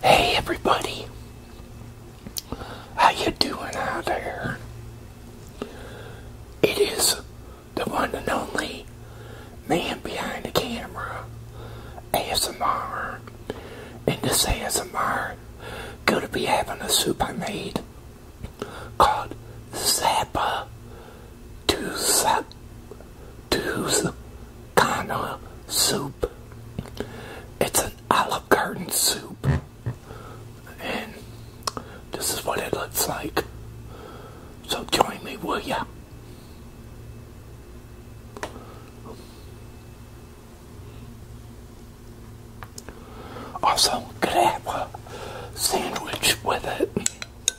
Hey everybody, how you doing out there? It is the one and only man behind the camera, ASMR, and this ASMR gonna be having a soup I made called Zappa Tuesday kind of soup. It's an olive garden soup. And this is what it looks like. So join me, will ya? Also, could I have a sandwich with it?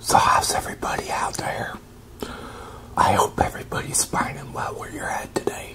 So, how's everybody out there? I hope everybody's finding well where you're at today.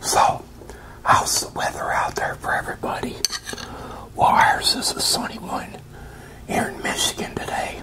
So, how's the weather out there for everybody? Well, ours is a sunny one here in Michigan today.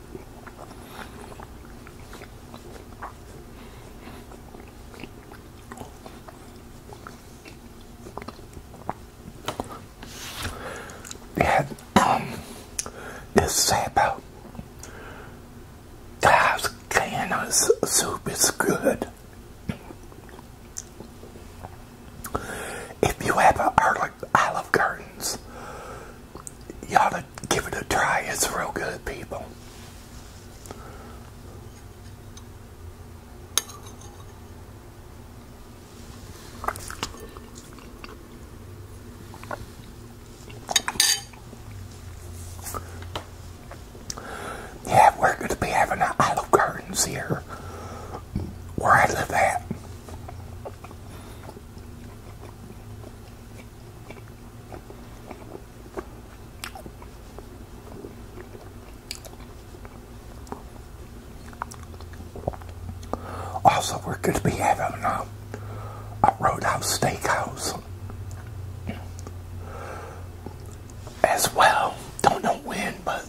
That um, this sabo Dives can of soup is good. If you ever have a Olive curtains you ought to give it a try. It's real good, people. Yeah, we're going to be having an Olive Gardens here, where I live at. Also, we're going to be having a, uh, a Roadhouse Steakhouse as well. Don't know when, but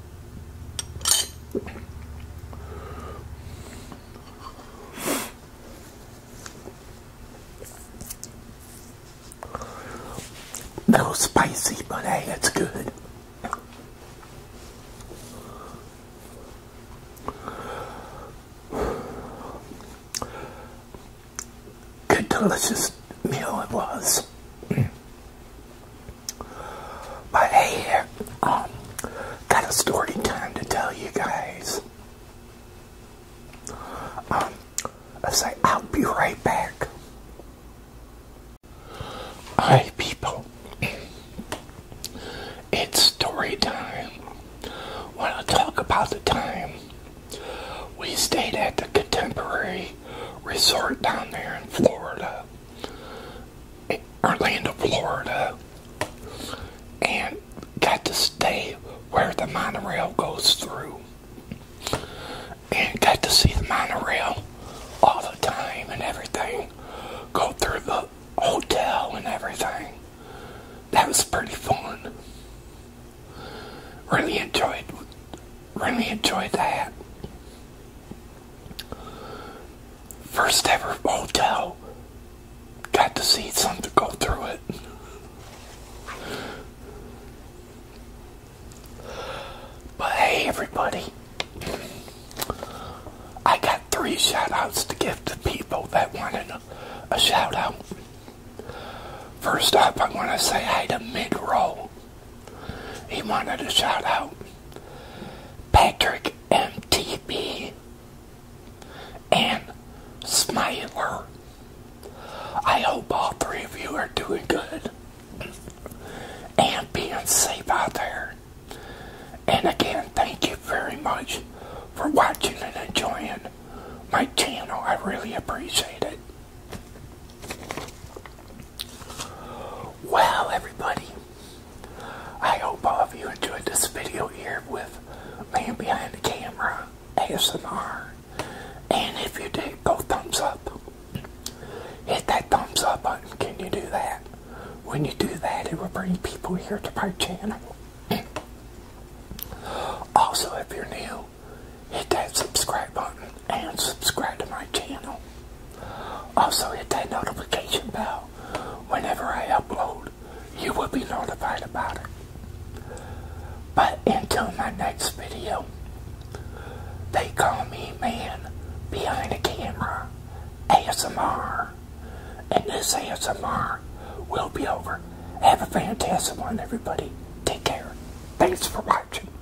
That was spicy, but hey, that's good. Good, delicious meal it was. But hey, um, got a story time to tell you guys. Um, I say I'll be right back. Hi, people. It's story time. Want to talk about the time we stayed at the Contemporary Resort down there in Florida Orlando, Florida, and got to stay where the monorail goes through. And got to see the monorail all the time and everything. Go through the hotel and everything. That was pretty fun. Really enjoyed really enjoyed that. First ever hotel. Got to see something go through it. But hey, everybody. I got three shout outs to give to people that wanted a, a shout out. First up, I want to say hey to Midroll. He wanted to shout out Patrick MTB and Smiler. I hope all three of you are doing good and being safe out there. And again, thank you very much for watching and enjoying my channel. I really appreciate it. Well, everybody, I hope all of you enjoyed this video here with Man Behind the Camera ASMR. And if you did, go thumbs up. Hit that thumbs up button. Can you do that? When you do that, it will bring people here to my channel. also, if you're new, hit that subscribe button and subscribe to my channel. Also, hit that notification bell. Whenever I upload, you will be notified about it. But until my next video, they call me man behind the camera, ASMR. And this ASMR will be over. Have a fantastic one, everybody. Take care. Thanks for watching.